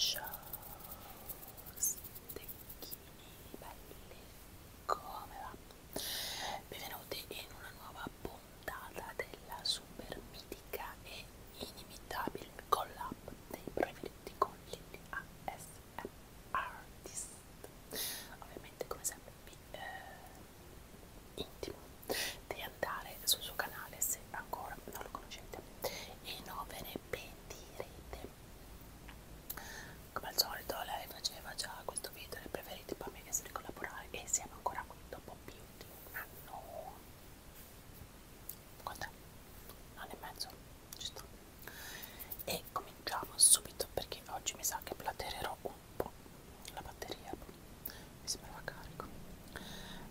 Ciao stecchini belli, come va? Benvenuti in una nuova puntata della Super Midi ricca e inimitabile collab dei preferiti con l'ASM Artist ovviamente come sempre vi eh, intimo di andare sul suo canale se ancora non lo conoscete e non ve ne pentirete come al solito lei faceva già questo video dei preferiti poi mi ha chiesto di collaborare e siamo ancora qui dopo più di un anno Quant'è? Un anno e mezzo, ci sto. E cominciamo subito perché oggi mi sa che platererò un po' la batteria. Mi sembrava carico.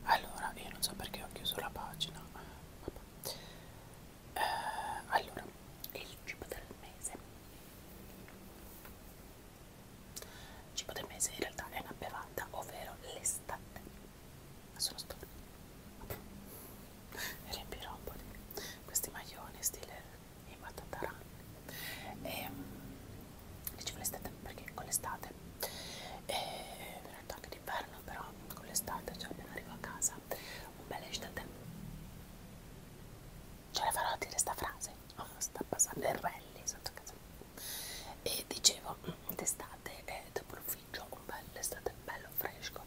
Allora, io non so perché ho chiuso la pagina. Vabbè. Eh, allora, il cibo del mese. Il cibo del mese in realtà è una bevanda, ovvero l'estate sono stupido e riempirò un po' di questi maglioni stile i matataran e ehm, dicevo um, l'estate perché con l'estate e eh, in realtà anche d'inverno però con l'estate cioè appena arrivo a casa un bel estate ce la farò a dire sta frase oh, sta passando il rally sotto casa e dicevo mm, d'estate eh, dopo il pomeriggio, un bel estate bello fresco.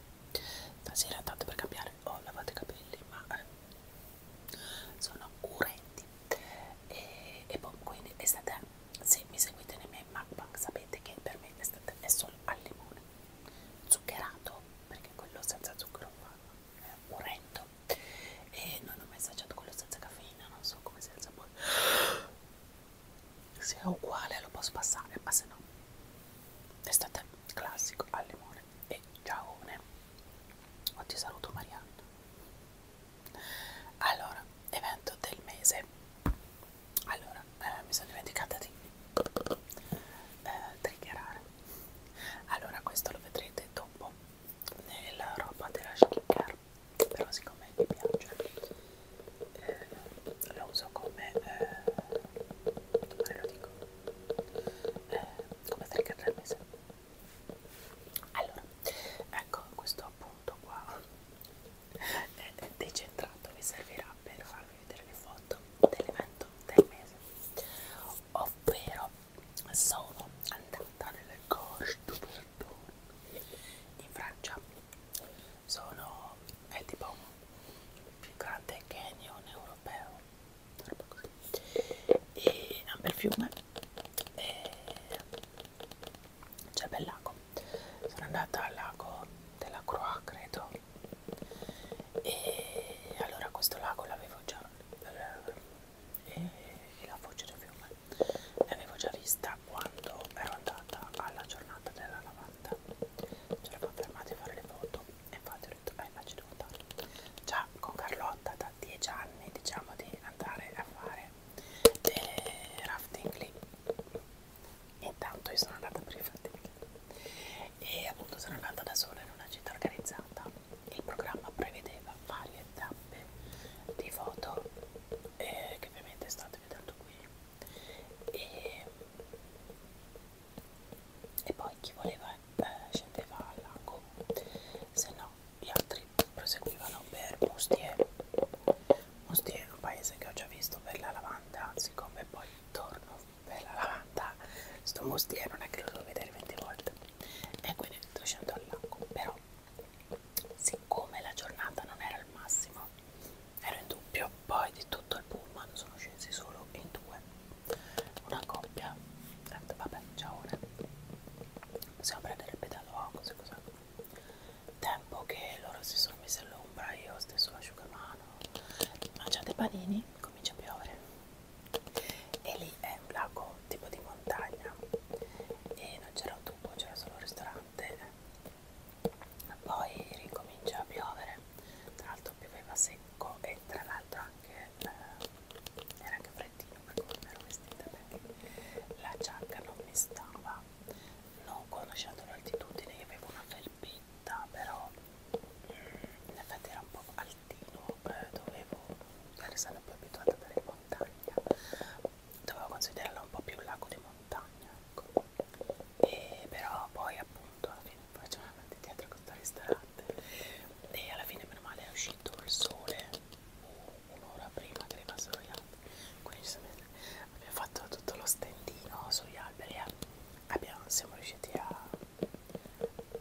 Stasera tanto per cambiare ho lavato i capelli, ma eh, sono curenti. E, e boh, quindi estate, se mi seguite nei miei mukbang sapete che per me l'estate è solo al limone, zuccherato, perché quello senza zucchero è orrendo. E non ho mai assaggiato quello senza caffeina, non so come sia il sapore se è uguale lo posso passare ma se no l'estate classico al limone e giaone oggi saluto Marianna allora evento del mese allora eh, mi sono dimenticata di eh, triggerare allora questo lo vedrete dopo nella roba della skincare però siccome mi piace eh, lo uso come eh, come lo dico eh, come trigger del mese allora ecco questo appunto qua è decentrato vi servirà per farvi vedere le foto dell'evento del mese ovvero sono andata nelle gorge du Verdun in Francia sono è tipo il più grande canyon europeo e è un bel fiume e c'è bel lago sono andata al lago della Croix credo e allora questo lago l'avevo già e, eh, e la voce del fiume l'avevo già vista quando ero andata alla giornata della lavanda ci eravamo fermati a fare le foto e infatti ho detto eh ma ci devo andare già con Carlotta da 10 anni diciamo di andare a fare delle rafting lì intanto io sono andata per i rafting e appunto sono andata da sola in una città organizzata il programma prevedeva varie tappe di foto eh, che ovviamente state vedendo qui e, e poi chi voleva eh, scendeva al lago se no gli altri proseguivano per Moustier Moustier è un paese che ho già visto per la lavanda siccome poi torno per la lavanda sto Moustier non è che lo devo vedere 20 volte e quindi scendo al lago però Siccome la giornata non era al massimo, ero in dubbio, poi di tutto il pullman sono scesi solo in due. Una coppia, vabbè, ciao, possiamo prendere il pedalò, oh, così cos'è. Tempo che loro si sono messi all'ombra, io ho steso l'asciugamano, mangiate panini, comincia a piovere. E lì è un lago tipo di montagna e non c'era un tubo, c'era solo un ristorante poi ricomincia a piovere tra l'altro pioveva secco e tra l'altro anche eh, era anche freddino per come ero vestita perché la giacca non mi stava non conoscendo l'altitudine io avevo una felpetta però mm, in effetti era un po' altino eh, dovevo essere sempre abituata dalle montagne dovevo considerarla un po' più un lago di montagna ecco. e però poi appunto alla fine poi c'è una parte dietro questo ristorante e alla fine meno male è uscito il sole uh, un'ora prima che rimasero gli alberi quindi abbiamo fatto tutto lo stendino sugli alberi e abbiamo, siamo riusciti a,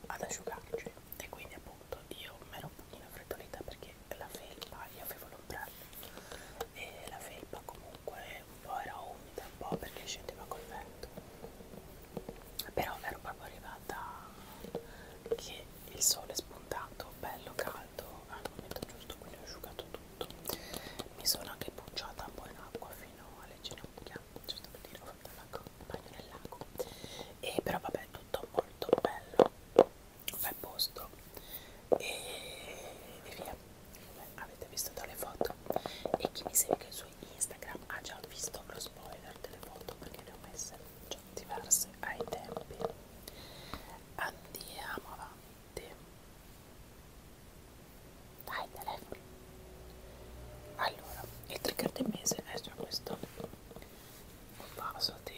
ad asciugarci e quindi appunto io mi ero un pochino freddolita perché che la felpa, io avevo l'ombrello e la felpa comunque un po' era umida, un po' perché scendeva col vento però ero proprio arrivata che il sole è spuntato, bello caldo al momento giusto, quindi ho asciugato tutto mi sono anche pucciata un po' in acqua fino alle ginocchia giusto per dire, ho fatto un bagno nel lago e però vabbè tutto molto bello bel posto e, e via come avete visto dalle foto e chi mi segue su Instagram ha già visto lo spoiler delle foto perché ne ho messe già diverse ai tempi andiamo avanti dai telefono allora il trigger del mese è già questo un vaso di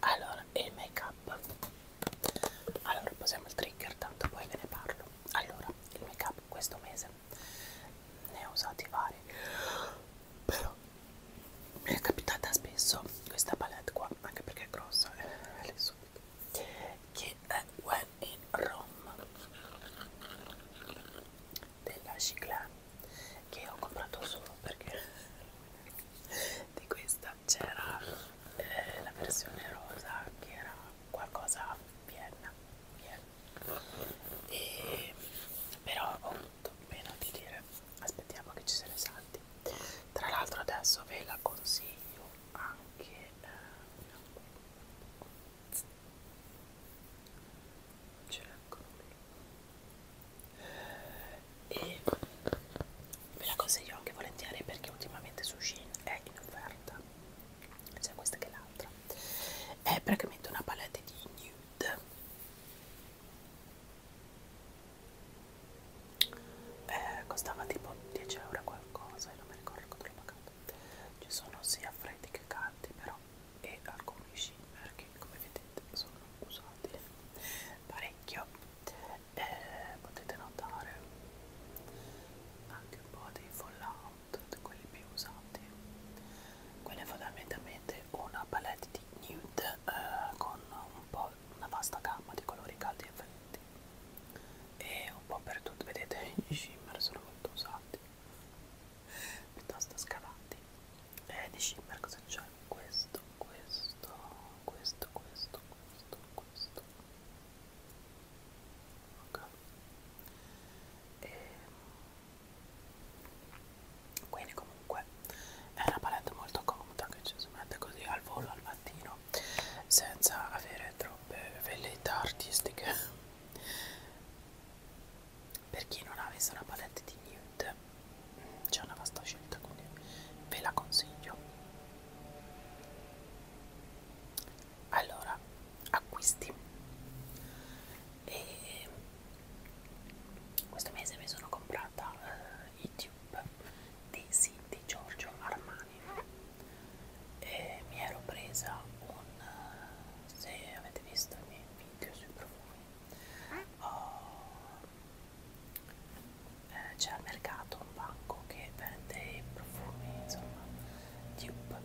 allora e il make up allora passiamo al trigger tanto poi ve ne parlo allora il make up questo mese ne ho usati vari però mi è capitata spesso questa palette qua anche perché è grossa eh, le subito che è When in Rome della Chiclane che ho comprato solo perché di questa c'era eh, la versione rosa che era qualcosa a Vienna, Vienna. E, però ho avuto meno di dire aspettiamo che ci se ne salti tra l'altro adesso ve la consiglio anche eh, ce l'ho qui e ve la consiglio anche volentieri perché ultimamente su Shein è in offerta sia questa che l'altra è praticamente una palette di nude eh, costava tipo 10 euro qualcosa e non mi ricordo quanto l'ho pagato ci sono sia freddi che caldi però e alcuni shimmer che come vedete sono usati parecchio eh, potete notare anche un po' dei fallout di quelli più usati quella è fondamentalmente una palette di nude eh, con un po' una vasta gamma di colori caldi e freddi e un po' per tutto vedete i shimmer sono molto usati piuttosto scavati eh, di shimmer cosa c'è? questo, questo, questo, questo, questo, questo ok e... Ehm, quindi comunque è una palette molto comoda che ci si mette così al volo al mattino senza avere troppe velleità artistiche per chi non avesse una palette di nude c'è una vasta scelta quindi ve la consiglio allora acquisti e questo mese mi sono comprata uh, i tube di Cindy Giorgio Armani e mi ero presa un eh, se avete visto i miei video sui profumi oh, eh, c'è al mercato un banco che vende i profumi insomma dupe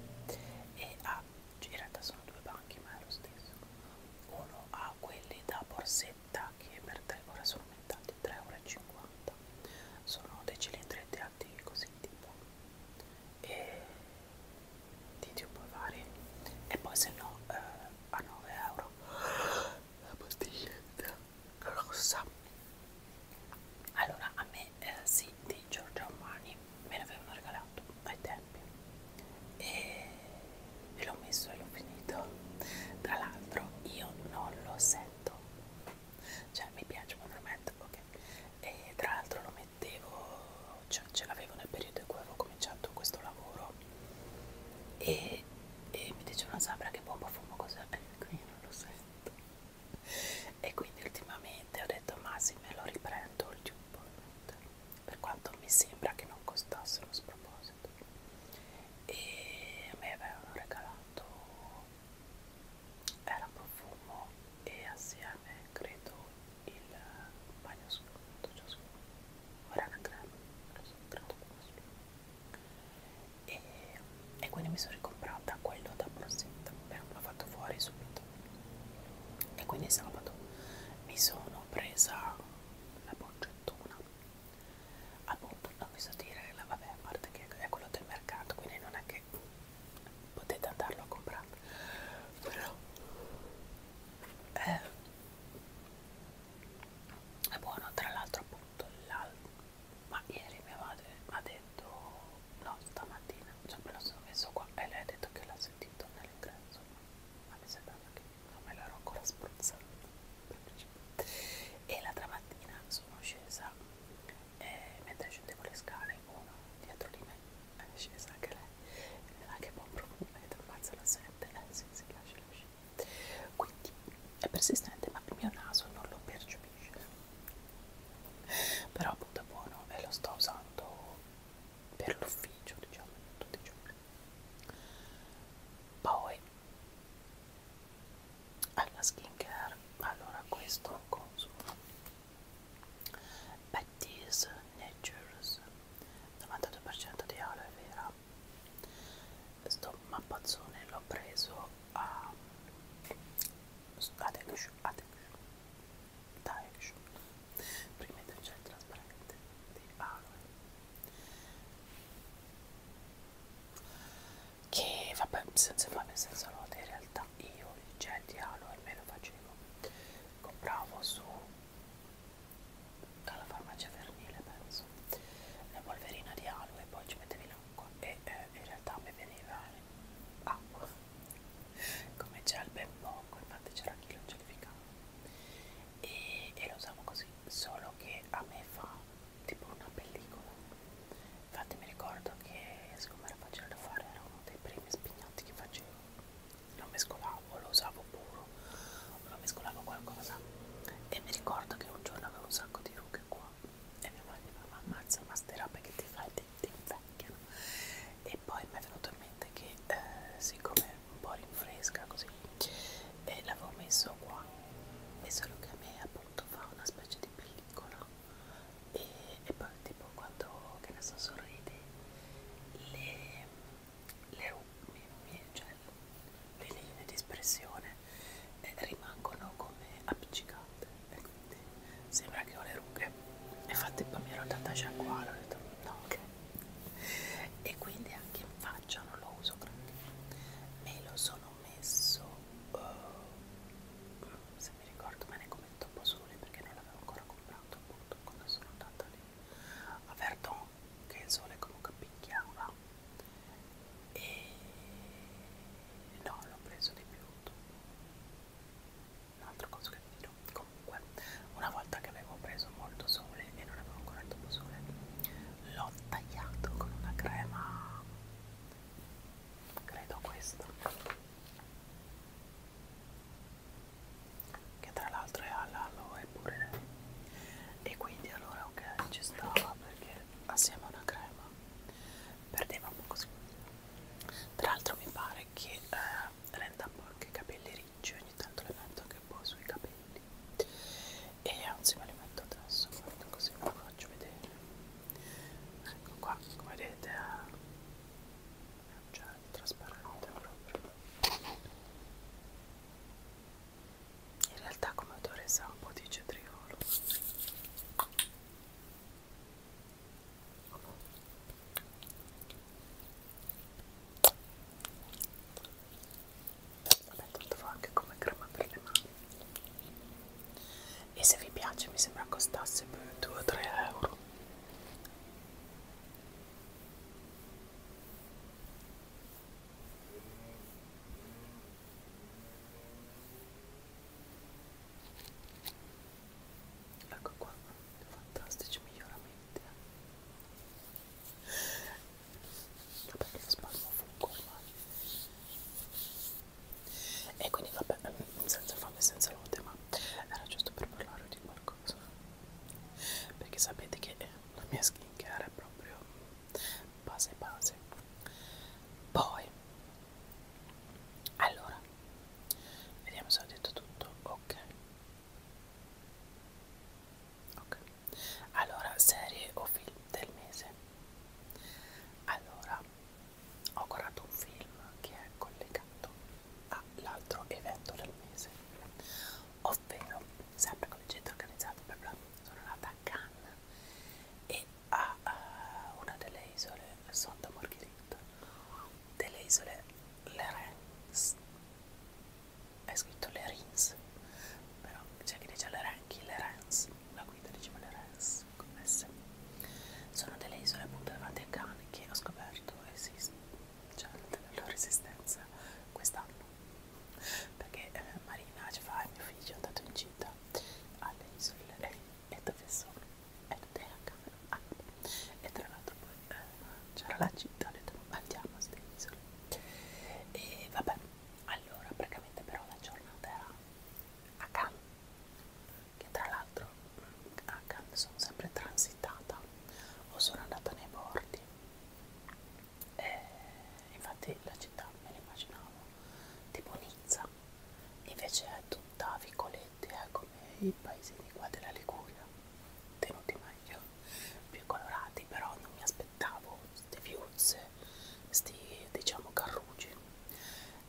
e ha ah, in realtà sono due banchi ma è lo stesso uno ha quelli da borsetta che per tre ora sono aumentati 3,50 euro sono dei cilindri tirati così tipo e di dupe vari e poi se no eh, a 9 euro la pastiglietta rossa allora a me eh, sì di Giorgio Armani me l'avevano regalato ai tempi e, e l'ho messo e l'ho finito tra l'altro io non lo sento cioè mi piace quando lo metto ok e tra l'altro lo mettevo cioè, già ce l'avevo nel periodo in cui avevo cominciato questo lavoro e, e mi dicevano sempre che bomba fumo cos'è e eh, quindi non lo sento e quindi ultimamente ho detto ma sì me lo riprendo il giubbotto per quanto mi sembra che non costasse uno sproposito e a me avevano regalato era profumo e assieme credo il bagno asciugato ciascuno ora era crema lo sono creato con e, e quindi mi sono ricomprata quello da Prosecco però l'ho fatto fuori subito e quindi sabato mi sono presa la boccettona appunto ah, boh, non vi so dire la, vabbè a parte che è quello del mercato quindi non è che potete andarlo a comprare però eh, è buono tra l'altro appunto l'altro ma ieri mia madre mi ha detto no stamattina cioè me lo sono messo qua e lei ha detto che l'ha sentito nell'ingresso ma mi sembrava che non me l'ero ancora spruzzato e l'altra mattina sono scesa e eh, mentre scendevo le scale uno dietro di me è scesa anche lei anche un po' vedete ammazza la sette eh sì sì lascia lascia quindi è persistente ma il mio naso non lo percepisce però appunto è buono e lo sto usando per l'ufficio diciamo tutti i giorni poi alla skincare allora questo consumo beh Aedes Natures 92% di aloe vera sto mappazzone l'ho preso a Atex Daesh prima di c'è il trasparente di aloe che vabbè senza fare senza lode in realtà io il gel di aloe me lo facevo compravo su dalla farmacia vernile penso una polverina di aloe poi ci mettevi l'acqua e eh, in realtà mi veniva acqua come gel ben poco infatti c'era chi lo gelificava e, e lo usavo così solo che a me fa tipo una pellicola infatti mi ricordo che siccome era facile da fare era uno dei primi spignati che facevo lo mescolavo o lo usavo puro o lo mescolavo qualcosa e mi ricordo che un giorno avevo un sacco di rughe qua e mia moglie mi diceva ma ammazza ma ste robe che ti fai ti, ti invecchiano e poi mi è venuto in mente che eh, siccome un po' rinfresca così e eh, l'avevo messo qua e solo che a me appunto fa una specie di pellicola e, e poi tipo quando che ne so sorride le le, mi, mi, cioè, le linee di espressione eh, rimangono come appiccicate e quindi sembra che ho le rughe infatti poi mi ero andata a sciacquare ho detto no ok e quindi anche in faccia non lo uso perché me lo sono messo uh, se mi ricordo me ne commento un po' soli perché non l'avevo ancora comprato appunto quando sono andata lì a Verdon che il sole comunque picchiava e no l'ho preso di più un'altra cosa che vi dirò comunque una volta che avevo preso molto sole e non avevo ancora il dopo sole l'ho tagliato con una crema credo questa che tra l'altro è all'aloe pure lei e quindi allora ok ci stava perché assieme a una crema perdeva un po' così tra l'altro mi pare che eh, renda un po' anche i capelli ricci ogni tanto le metto anche un po' sui capelli e anzi me li metto adesso guarda così ve lo faccio vedere ecco qua come vedete eh, arancione trasparente proprio in realtà come odore sa un po' di cetriolo vabbè tanto fa anche come crema per le mani e se vi piace mi sembra costasse per 2 o 3 euro Ecco qua, fantastici miglioramenti. Eh. Vabbè, lo spasmo fungo ormai. E quindi vabbè, ehm, senza fame senza lode, ma era giusto per parlare di qualcosa perché sapete che la mia skincare è proprio base base poi allora vediamo se ho detto tutto ok ok allora serie o film del mese allora ho guardato un film che è collegato all'altro evento del mese ovvero sempre come centro organizzato per bla, sono nata a Cannes e a uh, una delle isole sotto Morghirit, delle isole Lerens, è scritto Lerins, però c'è chi dice Lerenchi, Lerens, la guida diceva Lerens, commesse, sono delle isole appunto davanti a Cannes che ho scoperto esistono cioè la loro esistenza quest'anno perché eh, Marina ci fa il mio figlio è andato incinta alle isole e, eh, e dove sono? e non ah, e tra l'altro poi eh, c'era la città ho detto andiamo a ste isole e vabbè allora praticamente però la giornata era a Cannes che tra l'altro mm, a Cannes sono sempre transitata o sono andata nei bordi eh, infatti la città me l'immaginavo tipo Nizza invece è tutta vicoletti è eh, come i paesini qua della Liguria tenuti meglio più colorati però non mi aspettavo queste viuzze questi diciamo carrugi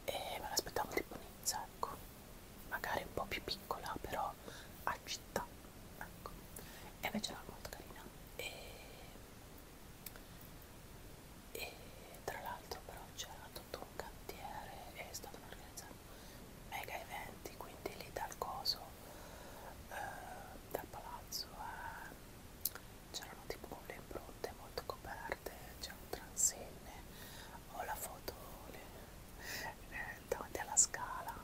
e me l'aspettavo tipo Nizza ecco magari un po' più piccola però a città ecco e invece era molto carina e, e tra l'altro però c'era tutto un cantiere e stavano organizzando mega eventi quindi lì dal coso eh, dal palazzo eh, c'erano tipo le impronte molto coperte c'erano transenne ho la foto le, eh, davanti alla scala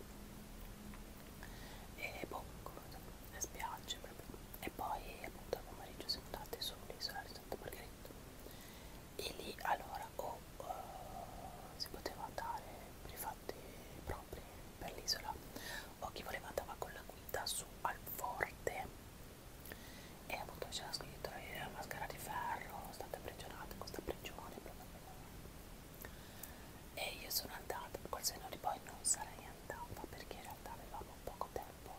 e boh, le spiagge proprio. e poi appunto al pomeriggio siamo andati sull'isola di Santa Margherita e lì allora o oh, uh, si poteva andare per i fatti propri per l'isola o chi voleva andava con la guida su al forte e appunto c'era scritto la mascara di ferro state prigionate questa prigione bla bla bla e io sono andata, col senno di poi non sarei andata perché in realtà avevamo poco tempo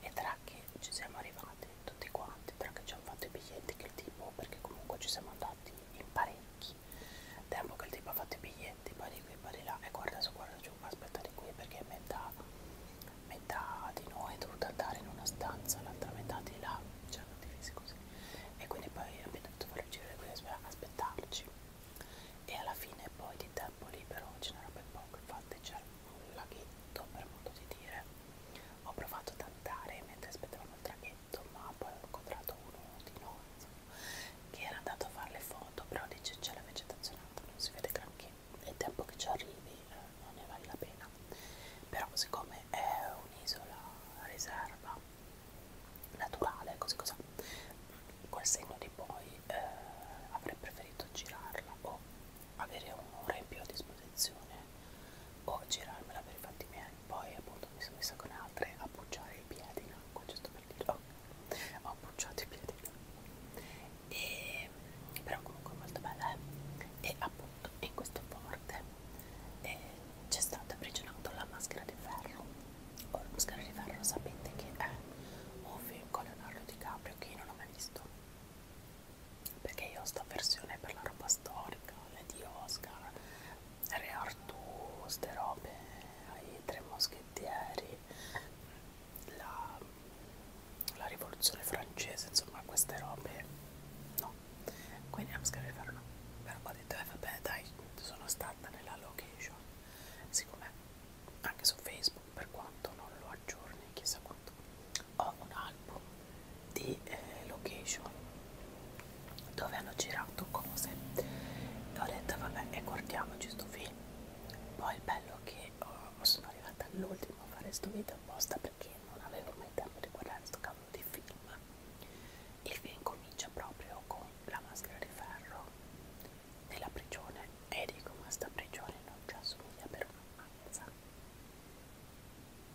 e tra che ci siamo arrivati tutti quanti, tra che ci hanno fatto i biglietti che il tipo, perché comunque ci siamo andati in parecchi tempo che il tipo ha fatto i biglietti, poi di qui, poi di là e guarda su, guarda giù, aspetta di qui perché metà, metà di noi è dovuta andare in una stanza, l'altra metà di là, ci cioè, hanno divisi così e quindi poi abbiamo dovuto fare il giro e quindi aspettarci e alla fine poi di tempo libero ce n'era ben poco infatti c'era un laghetto per modo di dire ho provato a tantare mentre aspettavamo il traghetto ma poi ho incontrato uno di noi insomma, che era andato a fare le foto però dice c'è la vegetazione alta non si vede granché e il tempo che ci arrivi eh, non ne vale la pena però siccome è un'isola riserva naturale, così cos'ha. Quel segno di poi eh, avrei preferito girarla o avere un'ora in più a disposizione o girarmela per i fatti miei. Poi appunto mi sono messa con altre a appoggiare i piedi in acqua, giusto per dire, oh, ho appoggiato i piedi in acqua. E, però comunque molto bella, eh? e appunto in questo forte e c'è stata prigionata la maschera di ferro. O la maschera di ferro sapete che è un film con Leonardo DiCaprio che io non ho mai visto. Perché io ho sta versione per la roba storica, le di Oscar, Re Artù, ste robe, i tre moschettieri, la, la rivoluzione francese, insomma queste robe no quindi non scriverlo però ho detto eh vabbè dai sono stata nella location siccome anche su facebook per quanto non lo aggiorni chissà quanto ho un album di eh, location dove hanno girato cose e ho detto vabbè e guardiamoci sto film poi il bello che oh, sono arrivata all'ultimo a fare sto video apposta perché non avevo mai tempo di guardare sto cavolo di film. Il film comincia proprio con la maschera di ferro nella prigione e dico ma sta prigione non ci assomiglia per una mazza.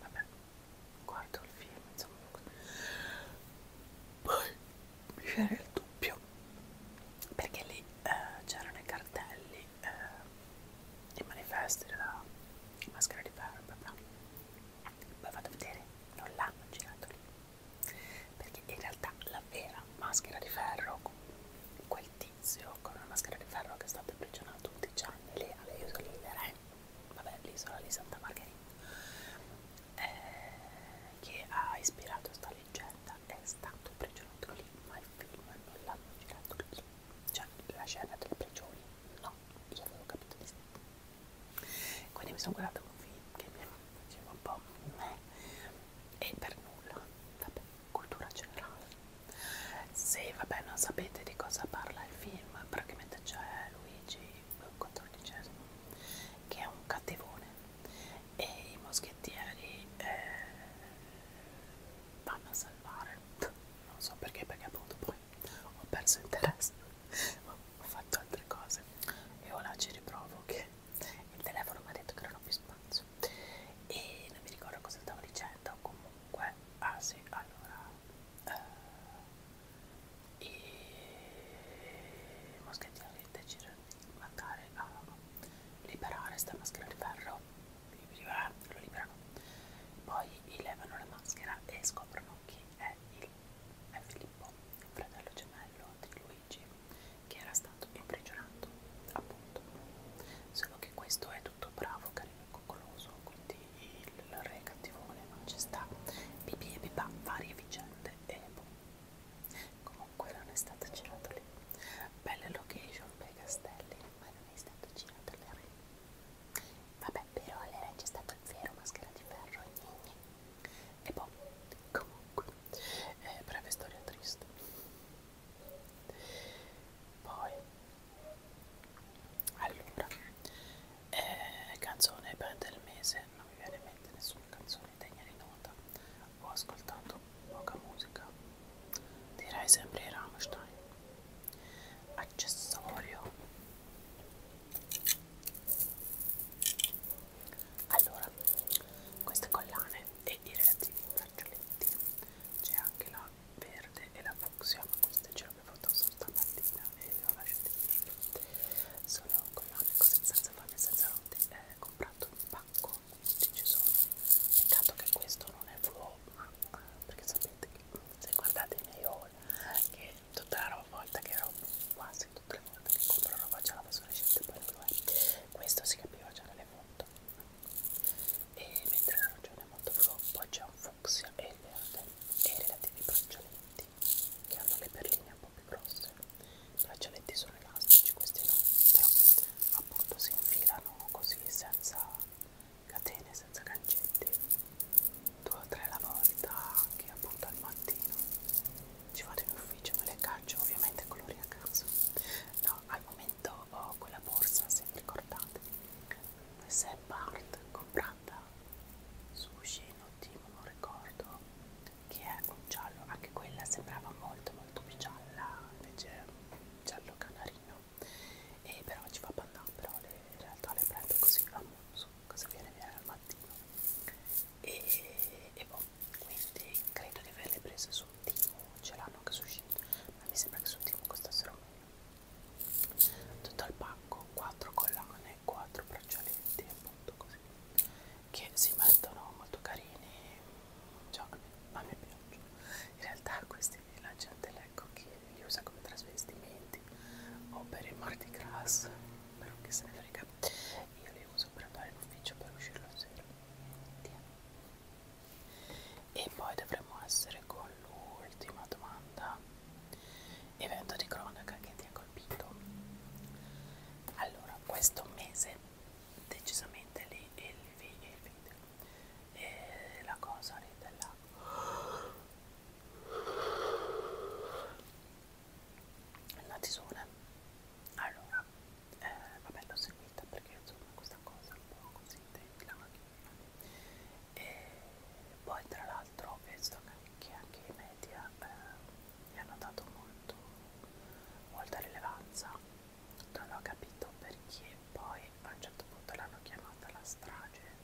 Vabbè, guardo il film, insomma. Poi mi viene il dubbio perché lì eh, c'erano i cartelli, eh, i manifesti della maschera di ferro, bla bla poi vado a vedere non l'hanno girato lì perché in realtà la vera maschera di ferro quel tizio con una maschera di ferro che è stato imprigionato 11 anni lì alle isole del eh? Re vabbè l'isola di Santa Margherita eh, che ha ispirato questa leggenda è stato imprigionato lì ma il film non l'hanno girato lì cioè la scena delle prigioni no io avevo capito di sì quindi mi sono guardata un film che mi faceva un po' meh, e per nulla, vabbè, cultura generale. Se vabbè non sapete di cosa parla il film, praticamente c'è Luigi XIV che è un cattivone e i moschettieri eh, vanno a salvare, non so perché, perché appunto poi ho perso interesse, ho fatto altre cose e ora ci riprovo che il telefono mi ha detto che non ho più spazio e non mi ricordo cosa stavo dicendo, comunque, ah sì, allora, eh, i moschettieri decidono di mandare a liberare sta maschera di ferro, lo liberano, poi gli levano la maschera e scoprono chi è il è Filippo, fratello gemello di Luigi, che era stato imprigionato, appunto. Solo che questo è tutto bravo, carino e coccoloso, quindi il re cattivone non ci sta. Bibi e bibà, varie vicende e boh. Comunque non è stata girata lì. Belle location per i castelli, ma non è stata girata le re. Vabbè, però allora c'è stato il vero maschera di ferro gne gne. E poi, boh, comunque, eh, breve storia triste. Poi, allora, eh, canzone per del mese, non mi viene in mente nessuna canzone degna di nota. Ho ascoltato poca musica, direi sempre Rammstein. Accessorio allora queste collane e i relativi braccialetti c'è anche la verde e la fucsia ma queste ce l'avevo addosso stamattina e le ho lasciate lì sono collane così senza panne senza rotte eh, comprato un pacco 15 sono peccato che questo non è flow ma eh, perché sapete che se guardate i miei haul che tutta la roba volta che ero quasi tutte le volte che compro roba già la fosforescente poi non lo è questo si capiva già dalle foto e mentre la ragione è molto blu poi c'è un fucsia e il verde e i relativi braccialetti che hanno le perline un po' più grosse i braccialetti sono elastici questi no però appunto si infilano così senza catene senza cancetti due o tre alla volta che appunto al mattino ci vado in ufficio me le caccio ovviamente colori a caso no al momento ho quella borsa se vi ricordate questa è Bart comprata su Sceno Team non ricordo che è un giallo anche quella sembrava molto molto più gialla invece è un giallo canarino e però ci fa panna però le, in realtà le prendo così a muzzo su cosa viene bene al mattino e, e boh, quindi credo di averle prese su Timo, ce l'hanno anche su Shein ma mi sembra che su Timo costassero meno tutto il pacco, 4 collane, 4 braccialetti appunto così che si mettono molto carini, cioè, ma mi piacciono in realtà questi la gente ecco, che li usa come trasvestimenti o per il Mardi Gras, però che se ne frega, io li uso per andare in ufficio per uscire la sera. E poi dovremmo essere con l'ultima domanda, evento di cronaca che ti ha colpito. Allora, questo mese decisamente lì il, il, il, il, la cosa lì della la tisura eh. allora eh, vabbè l'ho seguita perché insomma questa cosa è un po' così la macchina e poi tra l'altro ho visto che anche i media eh, gli hanno dato molto molta rilevanza non ho capito perché poi a un certo punto l'hanno chiamata la strage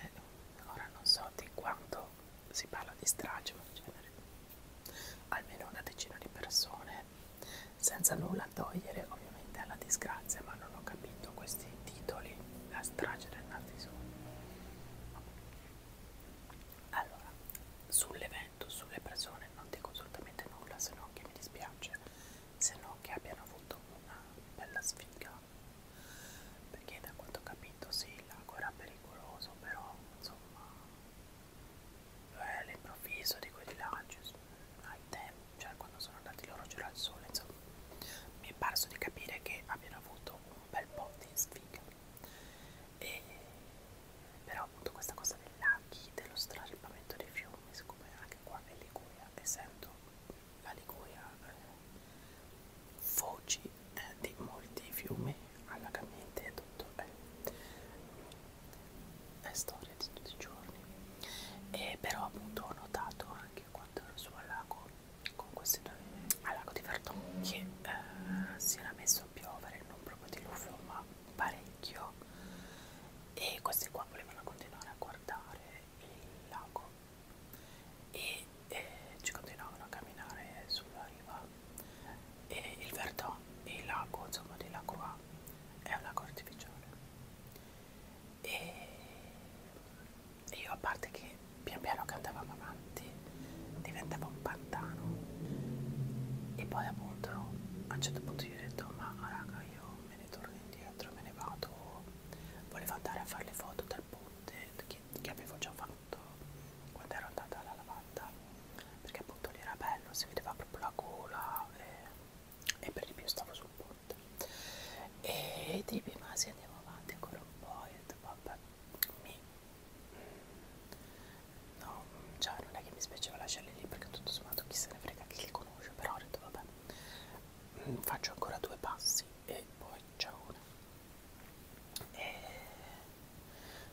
eh, ora non so di quanto si parla di strage ma in genere almeno una decina di persone senza nulla togliere ovviamente alla disgrazia ma non ho capito questi titoli la strage del Nazisù allora sull'evento sulle persone non dico assolutamente nulla se non che mi dispiace se no che abbiano avuto una bella sfiga perché da quanto ho capito sì il lago era pericoloso però insomma lo eh, è all'improvviso di quei villaggi al tempo cioè quando sono andati loro c'era il sole insomma mi è parso di capire che abbiano avuto un bel po' di sfiga e però appunto questa cosa dei laghi dello straripamento dei fiumi siccome anche qua in Liguria essendo la Liguria eh, foci eh, di molti fiumi allacamente e tutto eh, è storia di tutti i giorni e però appunto ho notato anche quando ero su al lago con questi due al lago di Verdon che eh, si era messo a piovere non proprio di luffo ma parecchio e questi qua volevano continuare a guardare il lago e eh, ci continuavano a camminare sulla riva e il Verdon e il lago insomma di lago A è un lago artificiale e io a parte che pian piano che andavamo avanti diventava un pantano e poi appunto a un certo punto io ho detto ma raga io me ne torno indietro me ne vado volevo andare a fare le foto dal ponte che, che avevo già fatto quando ero andata alla lavanda perché appunto lì era bello, si vedeva proprio la gola e, e per di più stavo sul ponte e ti rimasi andiamo avanti ancora un po' e ho detto vabbè mi no, cioè non è che mi spiaceva lasciarli lì perché tutto sommato chi se ne frega chi li conosce però ho detto vabbè faccio ancora due passi e poi ciao una e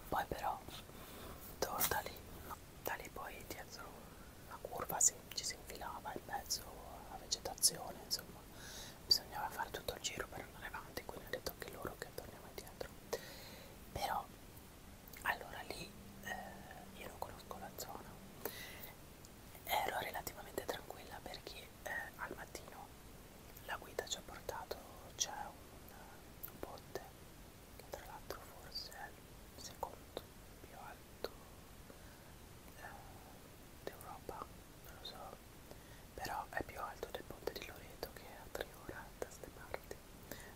poi però torno da lì da lì poi dietro la curva si, ci si infilava in mezzo alla vegetazione insomma bisognava fare tutto il giro per andare avanti quindi ho detto anche loro che torniamo indietro però allora lì eh, io non conosco la zona ero relativamente tranquilla perché eh, al mattino la guida ci ha portato c'è cioè un, un ponte che tra l'altro forse è il secondo più alto eh, d'Europa non lo so però è più alto del ponte di Loreto che è a tre ore da ste parti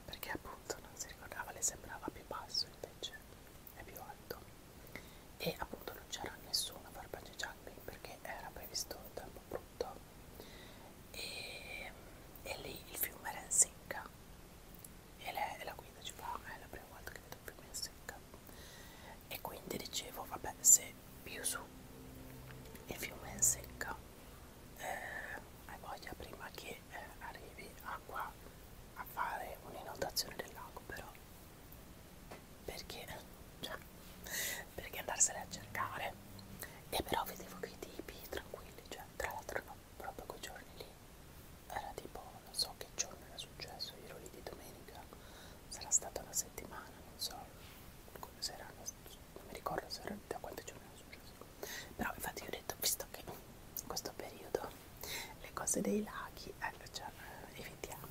perché appunto non si ricordava le sembrava più basso invece è più alto e appunto non c'era nessuno a far bungee jumping perché era previsto tempo brutto e, e lì il fiume era in secca e la, la guida ci fa eh, è la prima volta che vedo il fiume in secca e quindi dicevo vabbè se più su il fiume è in secca eh, hai voglia prima che eh, arrivi a qua a fare un'inondazione del lago però perché, cioè, perché andarsene a cercare e però vedevo che i tipi tranquilli cioè tra l'altro no, proprio quei giorni lì era tipo non so che giorno era successo io ero lì di domenica sarà stata una settimana non so come se era non mi ricordo se era da quanti giorni era successo però infatti io ho detto visto che in questo periodo le cose dei laghi eh, cioè, evitiamo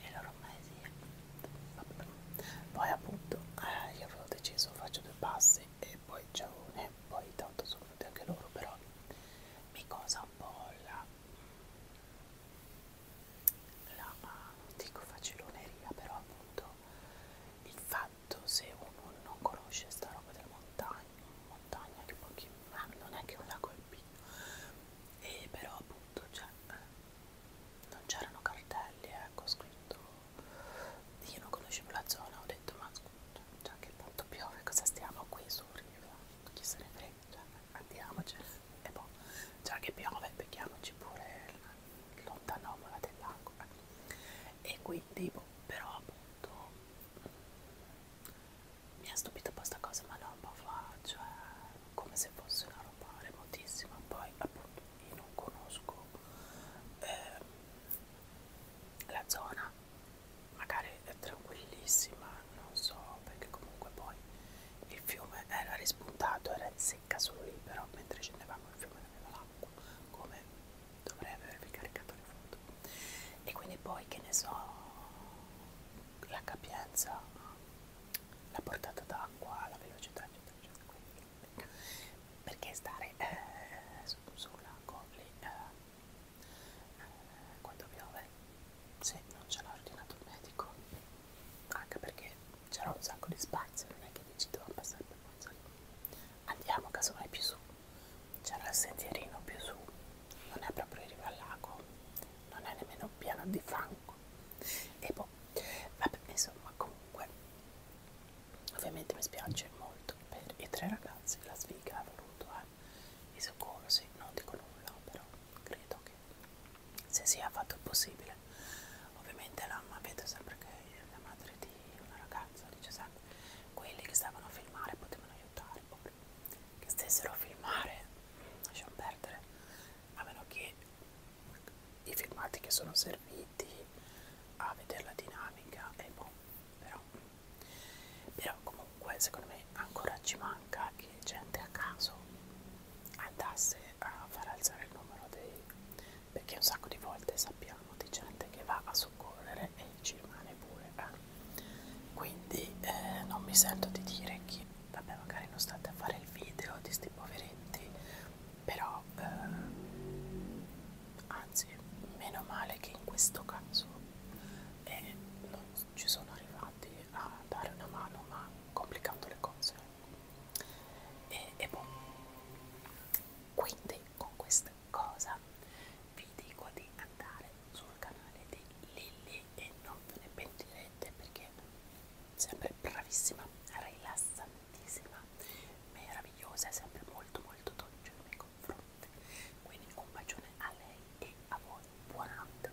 e loro ormai sì. poi appunto eh, io avevo deciso faccio due passi e poi ciaone poi tanto sono venuti anche loro però mi cosa un po' la la dico faciloneria però appunto il fatto se uno non conosce sta roba della montagna in montagna che pochi ma non è che non la colpì e però appunto cioè, eh, non c'erano cartelli ecco scritto io non conoscevo la zona ho detto ma scusa cioè, che tanto piove cosa stiamo qui su riva chi se ne frega cioè, andiamocene e poi boh, già che piove becchiamoci pure l'ontanomola dell'acqua eh. e quindi boh, però appunto mi ha stupito un po' sta cosa ma roba fa cioè eh. come se fosse una roba remotissima poi appunto io non conosco eh, la zona magari è tranquillissima non so perché comunque poi il fiume era rispuntato era in secca solo lì però mentre scendevamo il fiume aveva l'acqua come dovrei avervi caricato le foto e quindi poi che ne so la capienza, la portata d'acqua, la velocità, eccetera, eccetera. Quindi, perché stare eh, su, su un lago lì eh, eh, quando piove se non ce l'ha ordinato il medico? Anche perché c'era un sacco di spazio, non è che dici devo ah, passare per forza. Andiamo casomai più su. C'era il sentierino più su non è proprio in riva al lago, non è nemmeno un piano di fango. E boh, vabbè, insomma, comunque, ovviamente mi spiace molto per i tre ragazzi, la sfiga ha voluto eh, i soccorsi, non dico nulla, però credo che se sia fatto il possibile. Ovviamente la vedo sempre che la madre di una ragazza dice sempre quelli che stavano a filmare potevano aiutare. Boh che stessero a filmare, lasciamo perdere, a meno che i filmati che sono serviti a vedere la dinamica e boh, però, però comunque secondo me ancora ci manca che gente a caso andasse a far alzare il numero dei perché un sacco di volte sappiamo di gente che va a soccorrere e e ci rimane pure eh. quindi eh, non mi sento di dire che vabbè magari non state a fare il video di sti poveretti però eh, anzi meno male che in questo caso eh, non ci sono arrivati a dare una mano ma complicando le cose e, e boh quindi con questa cosa vi dico di andare su sul canale di Lilly e non ve ne pentirete perché sempre bravissima, rilassantissima, meravigliosa, sempre molto molto dolce nei miei confronti. Quindi un bacione a lei e a voi. Buonanotte.